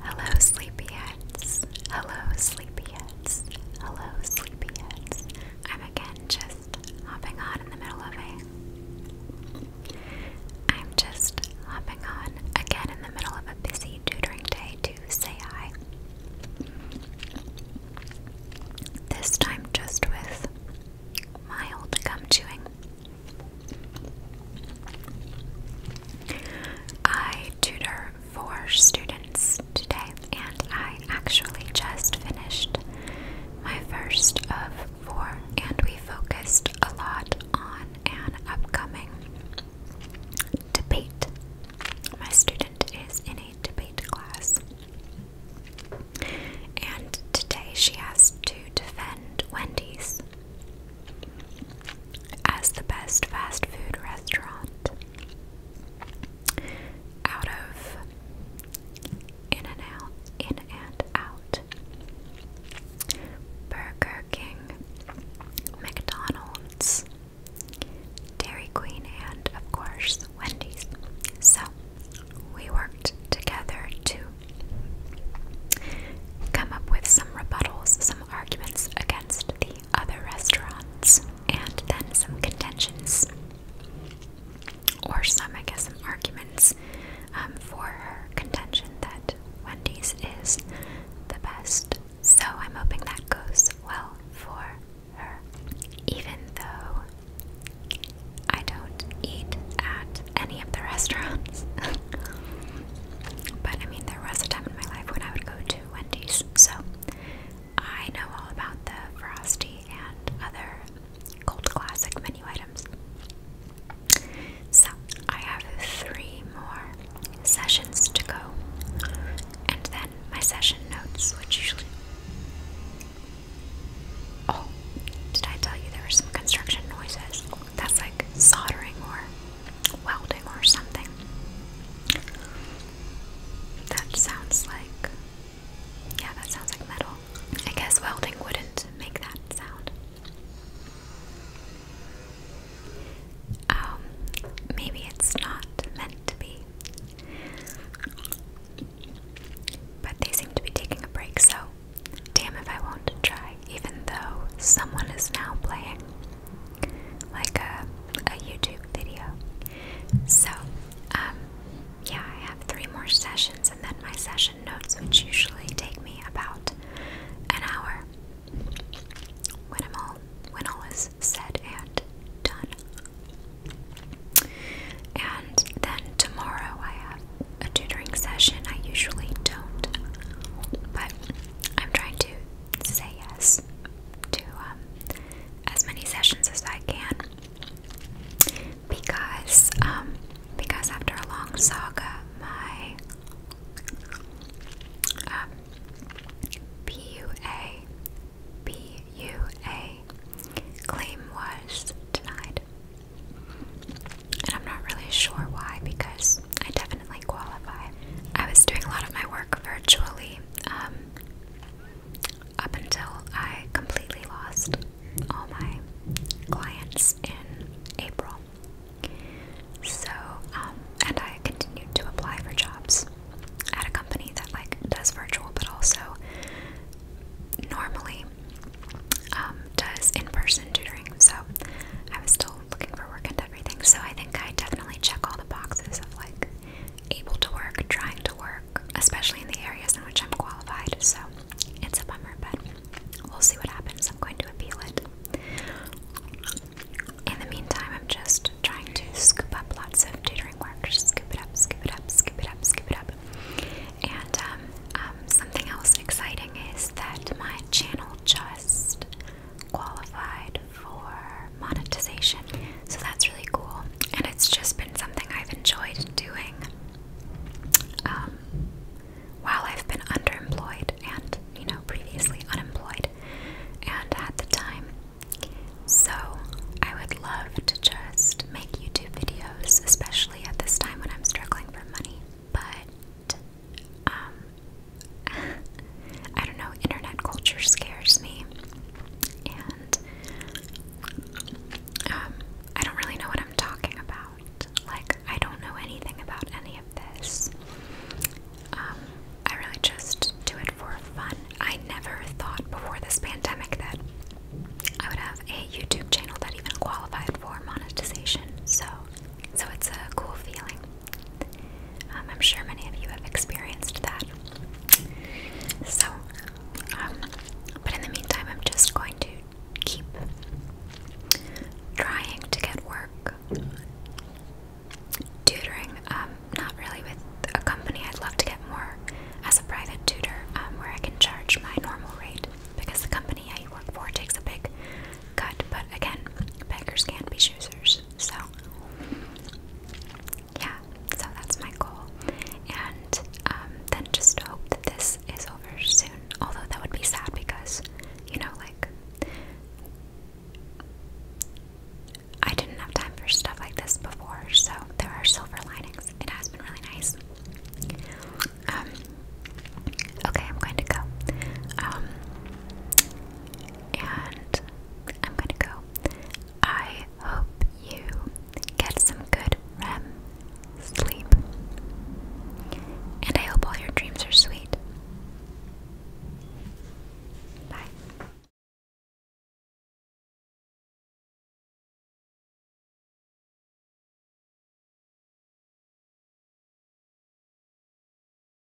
Hello, sleepyheads. Hello, sleepyheads. Hello, sleepyheads. I'm again just hopping on in the middle of a. I'm just hopping on again in the middle of a busy tutoring day to say hi. This time just with my old gum chewing. I tutor four students today, and I actually just finished my first of four, and we focused a lot on an upcoming debate. My student is in a debate class and today she has to defend Wendy's as the best fast food restaurant out of in and out in and out Burger King McDonald's Dairy Queen and of course Wendy's so we worked together to come up with some rebuttals, some arguments against the other restaurants, and then some contentions, or some, I guess, some arguments um, for her contention that Wendy's is the best. So I'm hoping that goes well for even though I don't eat at any of the restaurants. but I mean, there was a time in my life when I would go to Wendy's, so I know all about the Frosty and other cold classic menu items. So, I have three more sessions to go, and my session notes, which usually. Oh, did I tell you there were some construction noises? That's like soldering or welding or something. That sounds like. Yeah, that sounds like metal. I guess welding wouldn't make that sound. Um, maybe it's not meant to be but they seem to be taking a break, so damn if I won't try, even though someone is now playing like a, a YouTube video. So, um, yeah, I have three more sessions, and then my session notes, which usually take me about an hour when i all when all is said and done. And then tomorrow I have a tutoring session. I usually don't, but I'm trying to say yes to um, as many sessions as I can because um, because after a long saga, my um, PUA, PUA claim was denied. And I'm not really sure why because I definitely qualify. I was doing a lot of my work virtually um, up until I completely lost all my clients in April. So, um, and I continued to apply for jobs at a company that like does virtual, but also normally um, does in-person tutoring. So, I was still looking for work and everything. So, I think I definitely check all the boxes of like able to work, trying to work, especially in the areas in which I'm qualified. So, it's a bummer, but We'll see what happens. I'm going to appeal it. In the meantime, I'm just trying to scoop up lots of tutoring work. Just scoop it up, scoop it up, scoop it up, scoop it up. And um, um, something else exciting is that my channel just qualified for monetization. So that's really cool. And it's just been something I've enjoyed doing. Um, while I've been underemployed and, you know, previously unemployed and at the time. So I would love to just make YouTube videos, especially at this time when I'm struggling for money. But, um, I don't know, internet culture scares me. And um, I don't really know what I'm talking about. Like, I don't know anything about any of this. Um, I really just do it for fun. I never thought before this pandemic that I would have a YouTube channel that even qualified for monetization. So, so it's a cool feeling. Um, I'm sure many of you have experienced that. So, um, but in the meantime, I'm just going to keep trying to get work tutoring. Um, not really with a company. I'd love to get more as a private tutor, um, where I can charge my normal rate because the company I work for takes a big cut. But again, beggars can't be choosers. So yeah, so that's my goal. And um, then just hope that this is over soon. Although that would be sad because, you know, like, I didn't have time for stuff like this before, so there are silver linings. It has been really nice. Um, okay, I'm going to go. Um, and I'm going to go I hope you get some good REM sleep. And I hope all your dreams are sweet. Bye.